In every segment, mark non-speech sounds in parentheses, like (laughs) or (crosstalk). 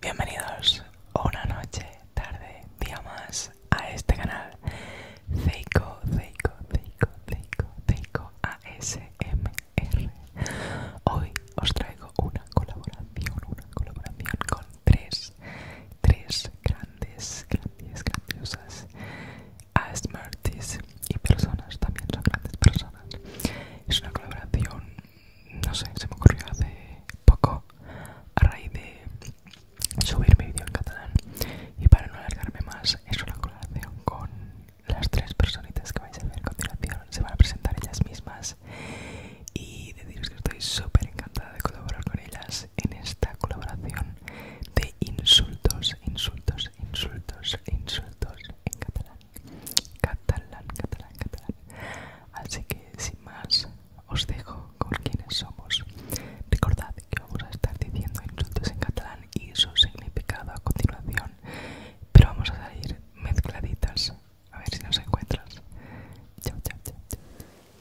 Bienvenidos una noche, tarde, día más a este canal Zeiko, Zeiko, Zeiko, Zeiko, Zeiko ASMR. Hoy os traigo una colaboración, una colaboración con tres, tres grandes, grandes, grandiosas a Smarties y personas, también son grandes personas. Es una colaboración, no sé, se me ocurrió hace poco a raíz de subir mi vídeo en catalán. Y para no alargarme más, es una colaboración con las tres personitas que vais a ver a continuación. Se van a presentar ellas mismas y deciros que estoy súper encantada de colaborar con ellas en esta colaboración de insultos, insultos, insultos, insultos en catalán. Catalán, catalán, catalán. Así que sin más, os dejo con quienes somos. Recordad que vamos a estar diciendo insultos en catalán y su significado a continuación, pero vamos a salir mezcladitas. A ver si nos encuentras. Chao, chao, chao. chao.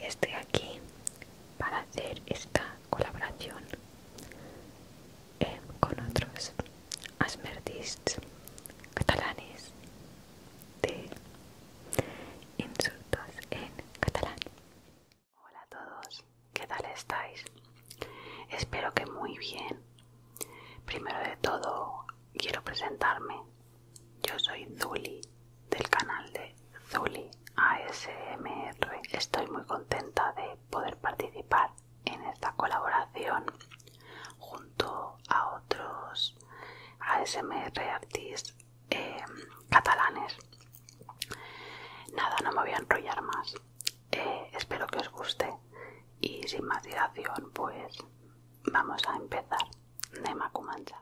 Estoy aquí para hacer esta colaboración eh, con otros asmerdists catalanes de insultos en catalán. Hola a todos, ¿qué tal estáis? Espero que muy bien. Primero de todo, quiero presentarme. Yo soy Zuli del canal de Zuli ASMR. Estoy muy contenta de poder participar en esta colaboración junto a otros ASMR artistas em, catalanes. Nada, no me voy a enrollar más. Eh, espero que os guste y sin más dilación pues vamos a empezar. Nema Macumancha.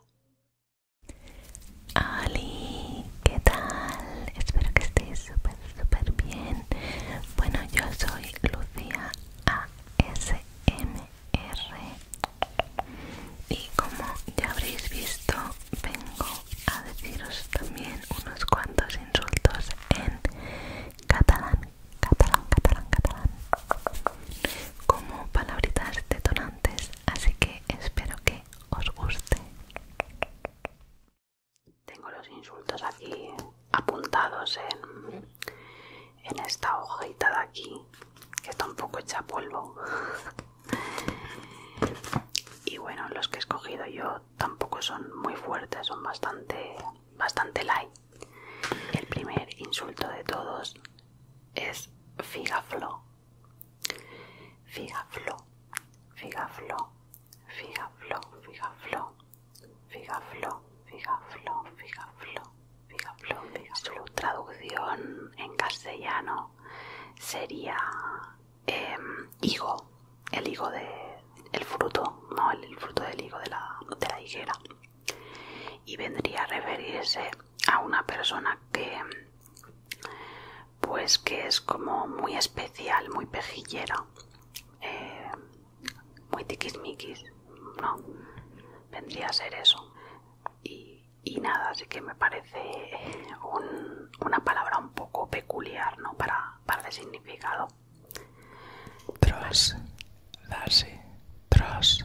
Ali, ¿qué tal? Espero que estéis súper, súper bien. Bueno, yo soy Lucía ASMR y como ya habréis visto, vengo a deciros también unos cuantos insultos en catalán, catalán, catalán, catalán, como palabritas detonantes, así que espero que os guste. Tengo los insultos aquí apuntados en, esta hojita de aquí, que tampoco echa polvo. (laughs) y bueno, los que he escogido yo tampoco son muy fuertes, son bastante, bastante light. El primer insulto de todos es figaflo. Figafló, figafló, figaflo, figafló, figafló, figaflo, figafló, figafló. Su traducción en castellano sería em, higo, el higo de el fruto, no el, fruto del higo de la, de la higuera y vendría a referirse a una persona que pues que es como muy especial, muy pejillera, muy eh, muy tiquismiquis, no, vendría a ser eso. Y, nada, así que me parece una palabra un poco peculiar, ¿no? Para, para el significado. Tras, darse, tras,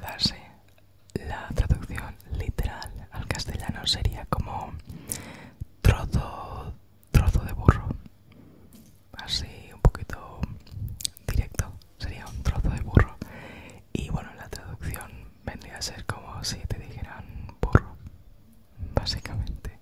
darse. La traducción literal al castellano sería como trozo, trozo de burro. Así un poquito directo. Sería un trozo de burro. Y bueno, la traducción vendría a ser como si te dijeran burro. Básicamente.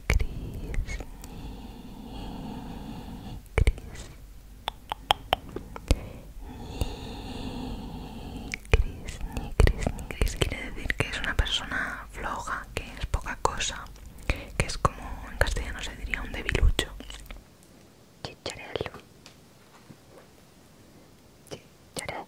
ni Cris, Cris, ni Cris, ni Cris, ni Quiere decir que es una persona floja, que es poca cosa, que es como en castellano se diría un debilucho. Chicharelo. Chicharello.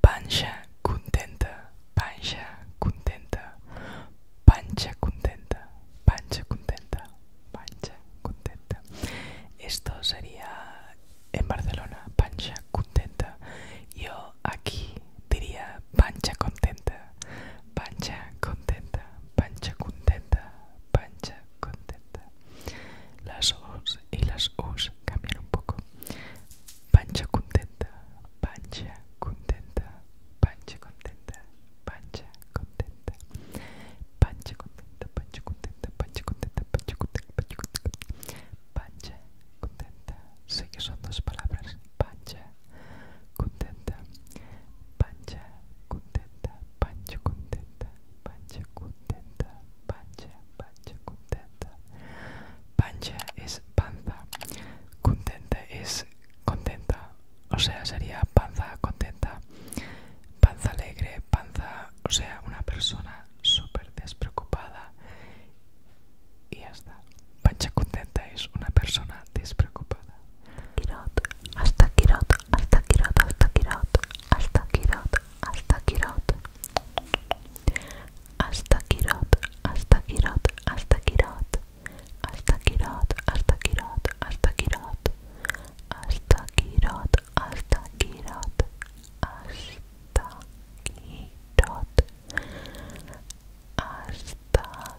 Pancha contenta, pancha contenta, pancha contenta, pancha contenta, pancha contenta. Esto sería en Barcelona, pancha contenta. Yo aquí diría pancha contenta, pancha contenta, pancha contenta, pancha contenta. Las O's y las o's cambian un poco. Pancha contenta, pancha contenta, pancha contenta, pancha contenta. Pancha contenta, pancha contenta, pancha contenta, pancha contenta, pancha contenta. Pancha contenta. Sé que son dos palabras. Pancha contenta, pancha contenta, pancha contenta, pancha contenta, pancha, pancha contenta. Pancha es panza, contenta es contenta, o sea, sería panza contenta, panza alegre, panza, o sea, una persona súper despreocupada y hasta Pancha Contenta es una persona despreocupada. Kirot, hasta Kirot, hasta Kirot, hasta Kirot, hasta Kirot, hasta Kirot. Hasta Kirot, hasta Kirot, hasta Kirot. Hasta Kirot, hasta Kirot, hasta Kirot. Hasta Kirot, hasta Kirot, hasta Kirot. Hasta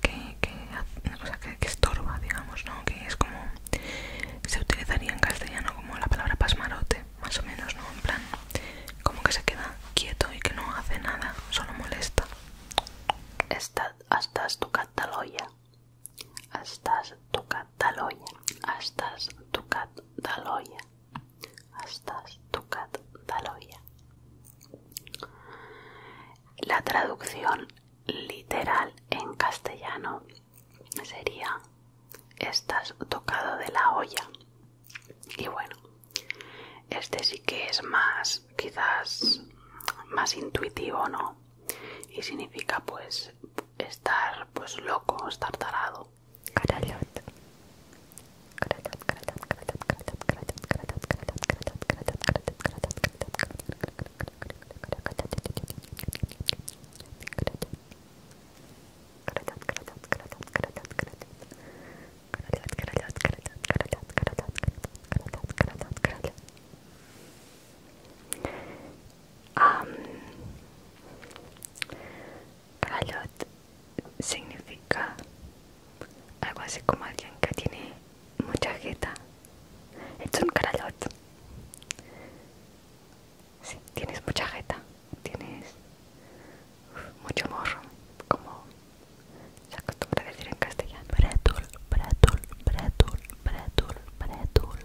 que, estorba, digamos, ¿no? Que es como. Se utilizaría en castellano como la palabra pasmarote, más o menos, ¿no? En plan, como que se queda quieto y que no hace nada, solo molesta. Estás, estás tu cataloya. Estás tu cataloya. Estás tu cataloya. Estás tu la traducción literal en castellano sería estás tocado de la olla. Y bueno, este sí que es más, quizás, más intuitivo, ¿no? Y significa pues estar pues loco, estar tarado. significa algo así como alguien que tiene mucha jeta. es un caralot Si tienes mucha jeta. Tienes mucho morro, como se acostumbra decir en castellano. Pretul, pretul, pretul, pretul, pretul.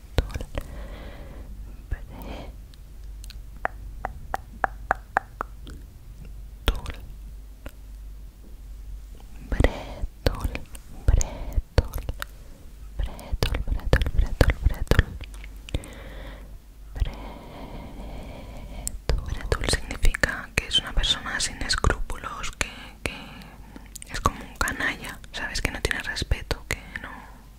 Tol Bretol Bretol significa que es una persona sin escrúpulos, que es como un canalla, sabes que no tiene respeto, que no,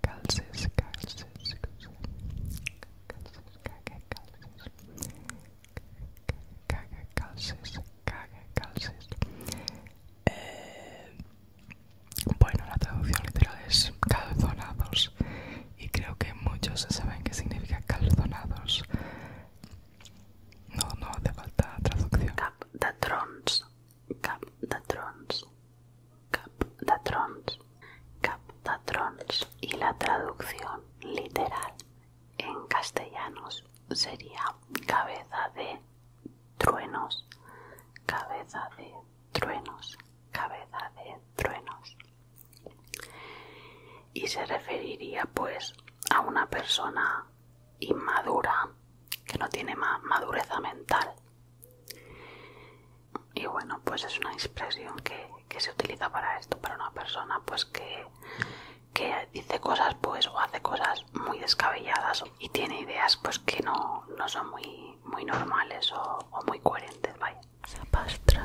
calces, calces, calces, calces, calces, calces, calces, caga calces. Eh, bueno, la traducción literal es calzonados y creo que muchos saben qué significa calzonados. No, no hace falta traducción cap de trons, cap trons, cap trons y la traducción literal en castellanos sería cabeza de truenos, cabeza de truenos, cabeza de truenos. Y se referiría pues a una persona inmadura que no tiene madureza madurez mental y bueno, pues es una expresión que, se utiliza para esto, para una persona pues que, dice cosas pues o hace cosas muy descabelladas y tiene ideas pues que no, son muy, muy normales o, muy coherentes, vaya. Sapastra,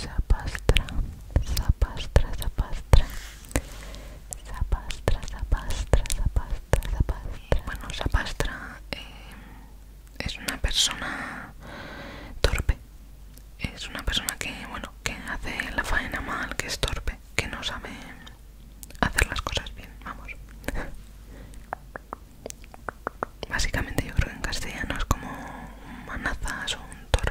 Zapastra, zapastra, zapastra. Zapastra, zapastra, zapastra, sapastra eh, Bueno, zapastra eh, es una persona torpe. Es una persona que, bueno, que hace la faena mal, que es torpe, que no sabe hacer las cosas bien, vamos. (laughs) Básicamente yo creo que en castellano es como un manazas o un torpe.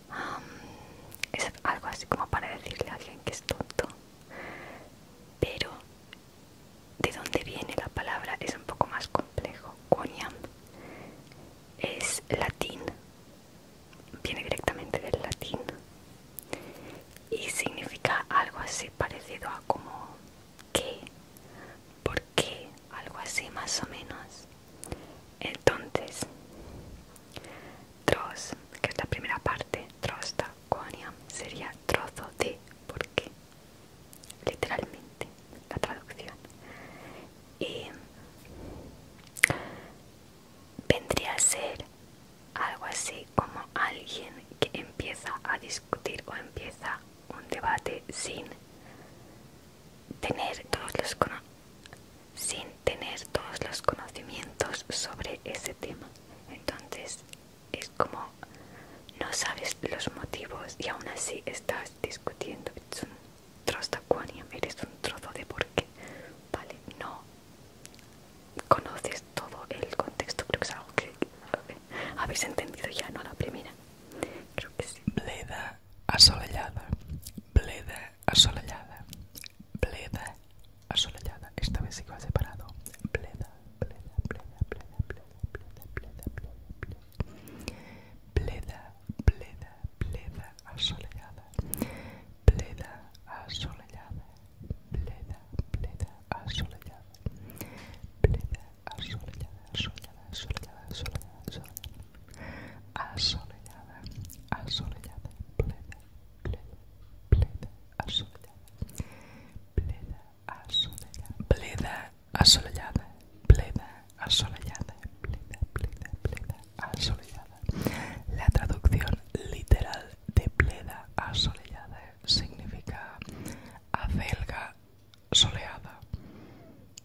Um, es algo así como para decirle a alguien que es tonto pero de dónde viene la palabra es un poco más complejo coniam es latín viene directamente del latín y significa algo así parecido a como que por qué algo así más o menos entonces, troz, que es la primera parte, trosta, conia sería trozo de, porque literalmente la traducción. Y vendría a ser algo así como alguien que empieza a discutir o empieza un debate sin tener todos los sin tener todos los conocimientos sobre ese tema. Entonces es como no sabes los motivos y aún así estás discutiendo. Es un trozo de eres un trozo de por qué. Vale, no conoces todo el contexto, creo que es algo que habéis entendido ya, no la primera. Creo que sí. Bleda asolellada, asolellada, bleda, asolellada, esta vez sigo separado, bleda, bleda, bleda, bleda, bleda, bleda, bleda, bleda, pleda, pleda, asolellada, asoleada, asoleada, plena, pleda plena, asoleada, plena, asoleada, plena, asoleada, plena, asoleada, plena, plena, plena, asoleada. La traducción literal de pleda asoleada significa acelga soleada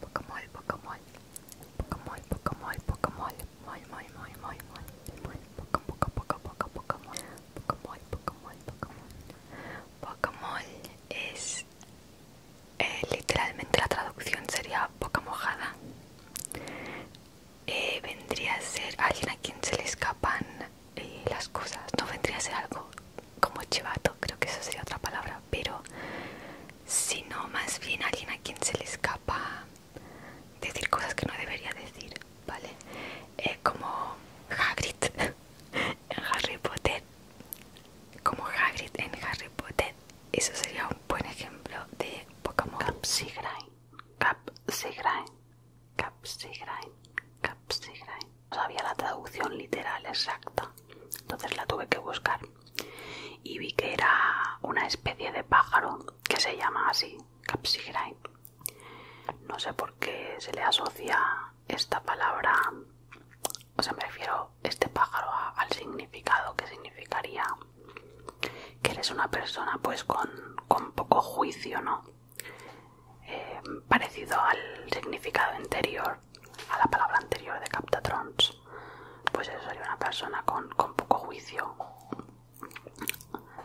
pocamol, Pokemon, Pokemon, Pokemon, Pokemon, Mol, Mol, Mol, Mol, Mol, Pokemon, Pokemon, Pokemon, Pokemon es literalmente la traducción sería boca mojada. vendría a ser alguien a quien se le escapan las cosas. No vendría a ser algo como chivato, creo que eso sería otra palabra, pero si no, más bien alguien a quien se le escapa decir cosas que no debería decir, ¿vale? Eh, como Hagrid (laughs) en Harry Potter, como Hagrid en Harry Potter, eso sería un buen ejemplo de Pokémon. Capsigrain, Capsigrain, Capsigrain, Capsigrain sabía la traducción literal exacta, entonces la tuve que buscar y vi que era una especie de pájaro que se llama así, capsigrae No sé por qué se le asocia esta palabra, o sea, me refiero este pájaro al significado que significaría que eres una persona pues con, poco juicio, ¿no? Eh, parecido al significado anterior a la palabra anterior de captatrons, pues eso sería una persona con, poco juicio.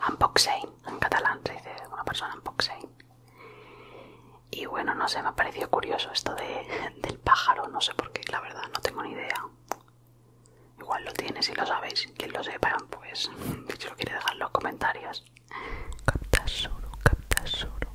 Unboxing, en catalán se dice una persona unboxing. Y bueno, no sé, me ha parecido curioso esto (laughs) del pájaro, no sé por qué, la verdad, no tengo ni idea. Igual lo tiene, si lo sabéis, quien lo sepa, pues (laughs) si lo quiere dejar en los comentarios. Captasoro, captasoro.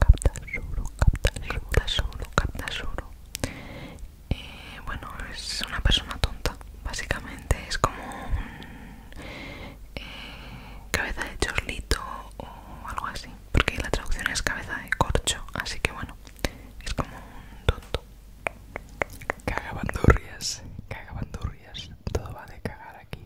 Captasuro, Captasuro, Captasuro, Eh, bueno, es una persona tonta. Básicamente es como un eh, cabeza de chorlito o algo así. Porque la traducción es cabeza de corcho. Así que bueno, es como un tonto. Cagabandurrias, cagabandurrias. Todo va de cagar aquí.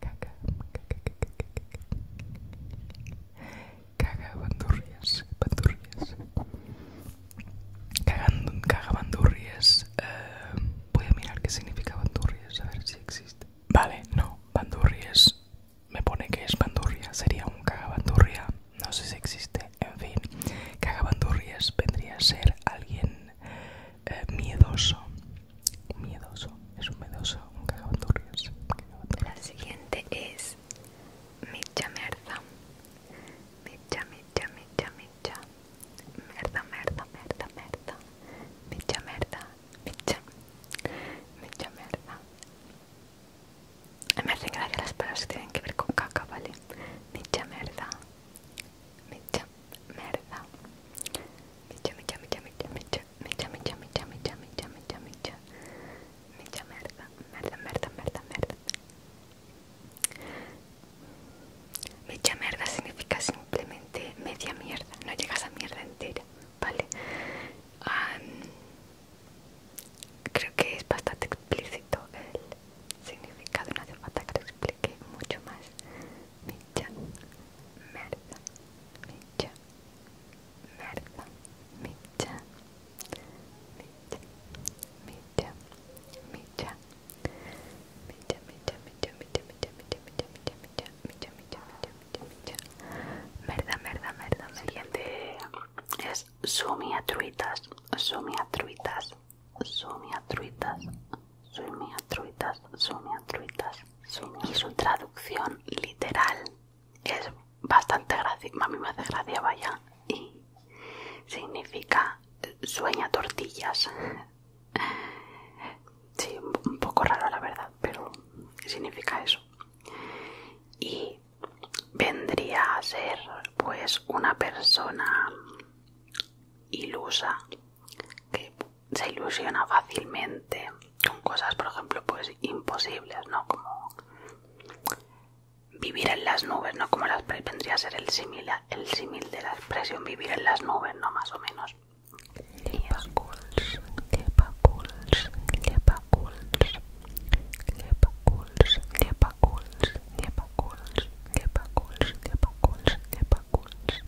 Caga... caca, Caga bandurrias, bandurrias. caga bandurrias. Eh, voy a mirar qué significa bandurrias, a ver si existe. Vale, no, bandurrias. Me pone que es bandurria, sería un cagabandurria, no sé si existe, en fin. Cagabandurrias vendría a ser alguien eh, miedoso, Miedoso, es un miedoso, un cagabaturrias. La siguiente es Micha Merda. Micha, Micha, Micha, Micha. Merda, merda, merda, merda. Micha, merda, Micha. Micha, merda. Me hacen gracia las palabras que tienen que ver con caca, ¿vale? Micha, merda. Micha, merda. Micha, micha, micha, micha, micha mecha, mecha, mecha, mecha, mecha, mecha, mecha, mecha, merda, merda, merda, merda, Mecha merda significa simplemente media mierda, no llegas a mierda entera, ¿vale? creo que es bastante explícito el significado, no hace falta que lo explique mucho más micha, merda, micha, merda, micha, micha, micha, micha, micha, merda, merda, siguiente es sumia truitas, sumia truitas, sumia truitas, truitas, sumia truitas y su traducción literal es bastante graciosa, a mí me hace gracia vaya, y significa eh, sueña tortillas. (laughs) Sí, un poco raro la verdad, pero significa eso. Y vendría a ser pues una persona ilusa que se ilusiona fácilmente con cosas, por ejemplo, pues imposibles, ¿no? Como vivir en las nubes, ¿no? Como las vendría a ser el símil el símil de la expresión vivir en las nubes, ¿no? Más o menos.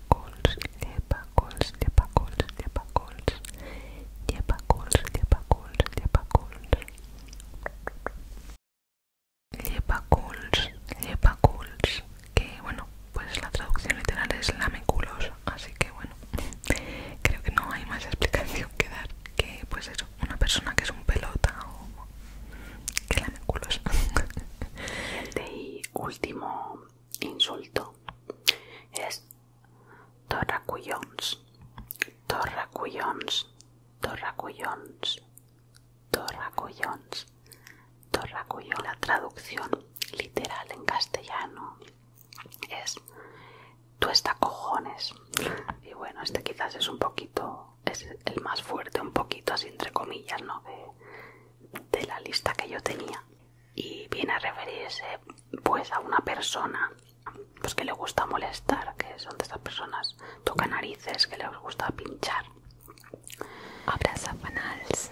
Lepacols, Lepacols, Lepacols, Lepacols, Lepacols, Lepacols, Lepacols, Lepacols, Lepacols, que bueno, pues la traducción literal es lameculos, así que bueno, (laughs) creo que no hay más explicación que dar que pues eso, una persona que es un pelota o que lame culos. (laughs) último insulto es torracullons, torracullons, torracullons, torracullons, torracullons La traducción literal en castellano es tú estás cojones. Y bueno, este quizás es un poquito, es el más fuerte, un poquito así entre comillas, ¿no? de la lista que yo tenía y viene a referirse pues a una persona pues que le gusta molestar que son de esas personas toca narices que les gusta pinchar abraza fanals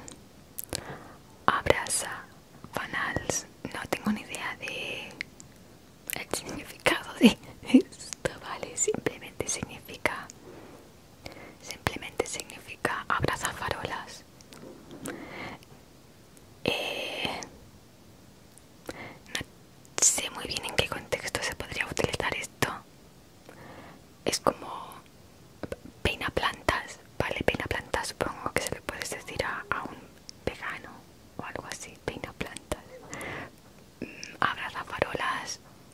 abraza fanals no tengo ni idea de el significado de esto vale simplemente significa simplemente significa abraza farolas. Eh, no sé muy bien en qué contexto se podría utilizar esto. Es como peina plantas, ¿vale? Peina plantas supongo que se le puedes decir a, un vegano o algo así, peina plantas. Mm, abraza farolas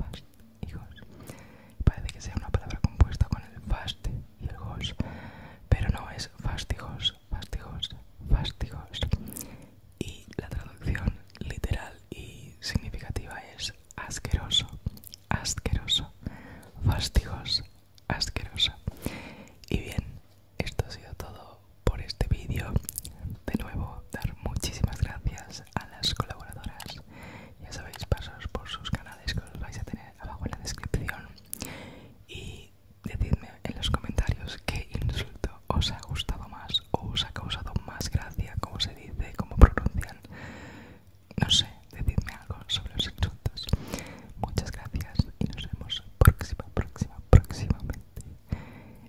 fast Parece que sea una palabra compuesta con el fast y el gos pero no es fastigos fastigos fastigos y la traducción literal y significativa es asqueroso, asqueroso, fastigos, asqueroso. Y bien, esto ha sido todo por este vídeo. De nuevo, dar muchísimas gracias a las colaboradoras. Ya sabéis, pasos por sus canales que os vais a tener abajo en la descripción. Y decidme en los comentarios qué insulto os ha gustado más o os ha causado más gracia, como se dice, como pronuncian. No sé, decidme algo sobre los insultos. Muchas gracias y nos vemos próxima, próxima, próximamente